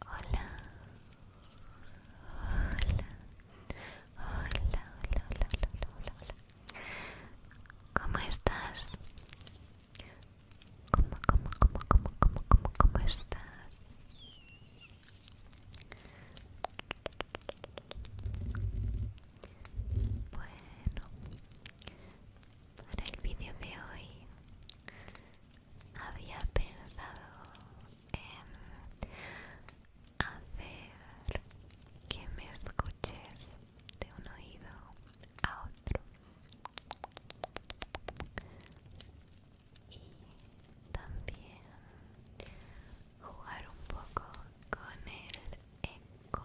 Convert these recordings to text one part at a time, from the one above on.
Hola. Hola. Hola, hola, hola, hola, hola, ¿Cómo estás? ¿Cómo, cómo, cómo, cómo, cómo, cómo, cómo estás? Bueno, para el vídeo de hoy había pensado en hacer que me escuches de un oído a otro y también jugar un poco con el eco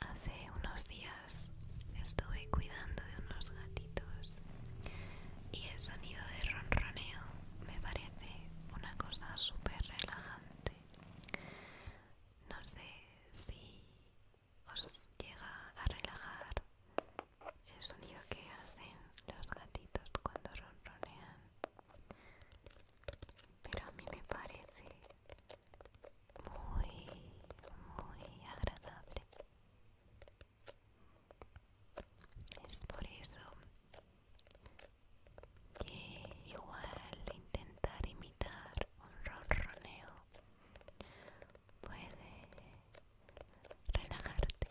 Hace unos días estuve cuidando de unos gatitos y el sonido de ronroneo me parece una cosa súper relajante. No sé si os llega a relajar el sonido que hacen los gatitos cuando ronronean, pero a mí me parece muy, muy agradable. Es por eso que igual intentar imitar un ronroneo puede relajarte.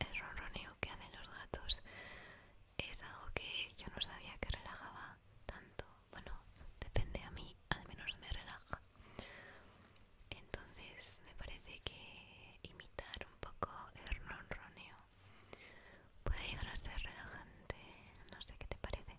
El ronroneo que hacen los gatos es algo que yo no sabía que relajaba tanto. Bueno, depende a mí, al menos me relaja. Entonces me parece que imitar un poco el ronroneo puede llegar a ser relajante. No sé qué te parece,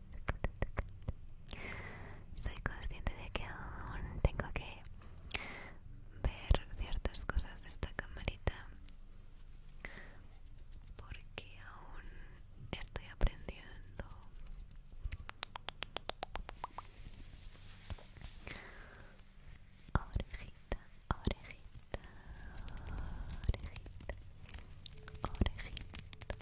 Soy consciente de que aún tengo que ver ciertas cosas de esta camarita porque aún estoy aprendiendo. orejita, orejita, orejita, orejita,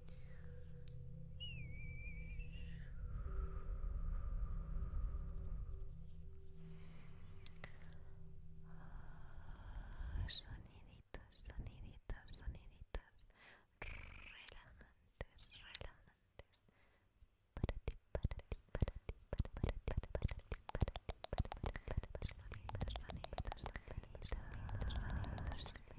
soniditos, soniditos, soniditos relajantes, relajantes para ti, para ti, para ti, para ti, para ti, para ti,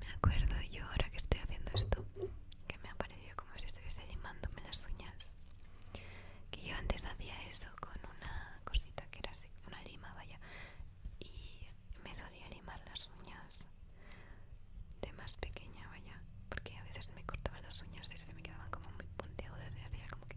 Me acuerdo yo ahora que estoy haciendo esto, que me ha parecido como si estuviese limándome las uñas. Que yo antes hacía eso con una cosita que era así, una lima, vaya, y me solía limar las uñas de más pequeña, vaya, porque a veces me cortaban las uñas y se me quedaban como muy puntiagudas y así como que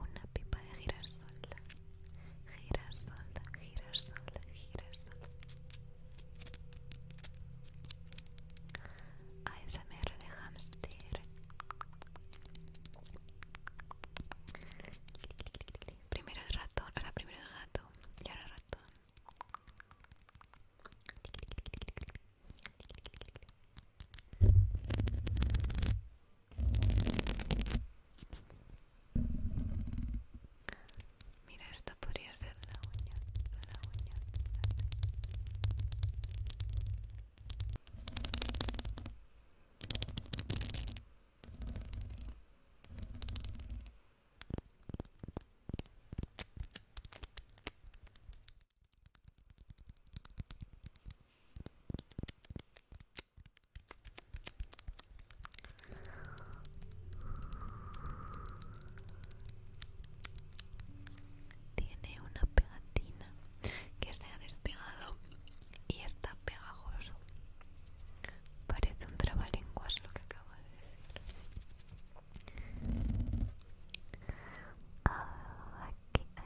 una pipa de girasol, girasol, girasol, girasol. ASMR de hamster. Primero el ratón, Ahora primero el gato y ahora el ratón. Mira, esto podría ser la uña, uña. Tiene una pegatina que se ha despegado y está pegajoso. Parece un trabalenguas lo que acabo de decir. aquí. Ah,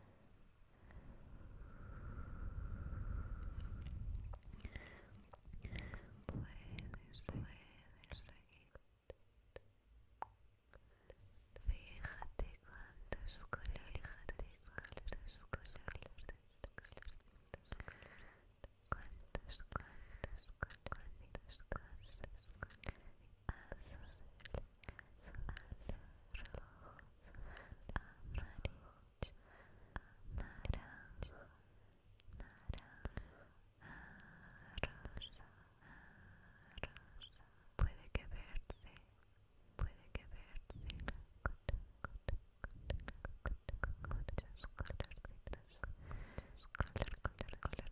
Puedes, puedes Fíjate cuántos colores, cuántos cuántos, cuántos, Puede que verde, puede que verde.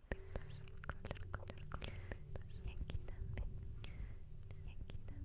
colorditas, color, color, Y aquí también, y aquí también.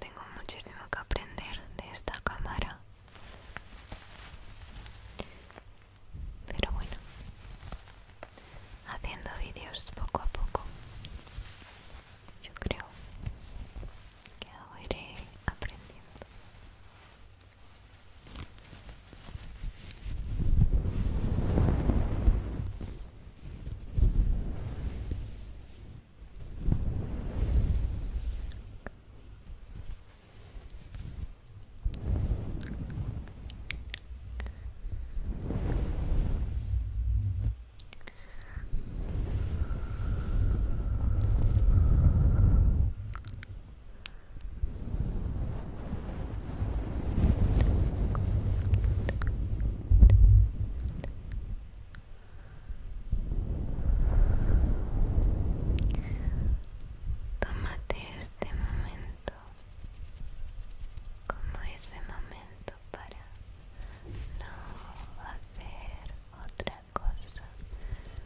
tengo muchísimo que aprender de esta cámara pero bueno haciendo vídeos poco a poco yo creo que lo iré aprendiendo Tómate este momento como ese momento para no hacer otra cosa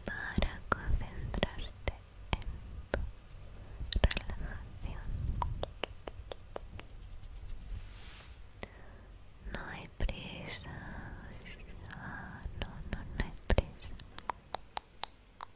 para concentrarte en tu relajación no hay prisa ah, no no no hay prisa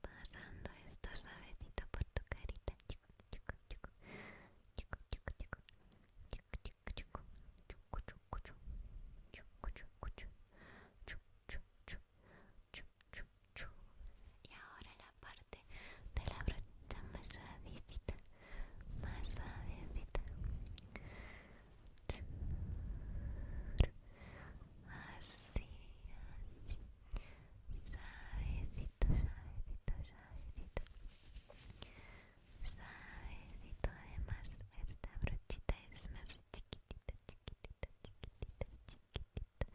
pasando esto suavecito por tu carita y ahora la parte de la brochita más suavecita más suavecita más días. Suavecito, suavecito, suavecito. Suavecito, además, esta brochita es más chiquitita, chiquitita, chiquitita, chiquitita.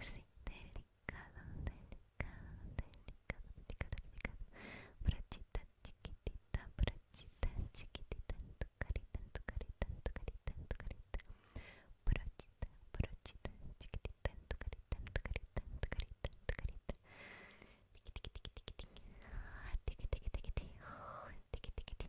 Así, delicado, delicado, delicado, delicado, delicado. Brochita chiquitita, brochita chiquitita carita en tu carita, en tu carita, en tu carita. Brochita, brochita, chiquitita en tu carita, en tu carita, en tu carita, en tu carita. Tiki, tiki, tiki, tiki, tiki. Tiki, tiki, tiki, tiki. Tiki, tiki, tiki.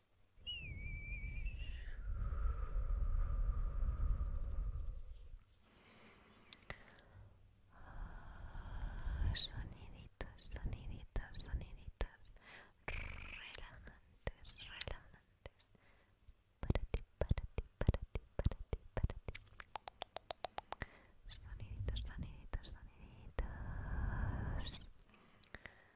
soniditos, soniditos, soniditos relajantes, relajantes para ti, para ti, para ti, para ti, para ti soniditos, soniditos, soniditos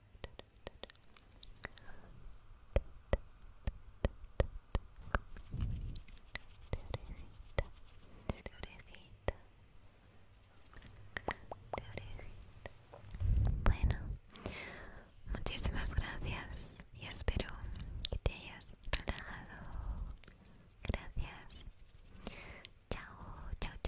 orejita bueno muchísimas gracias y espero que te hayas relajado gracias chao chao chao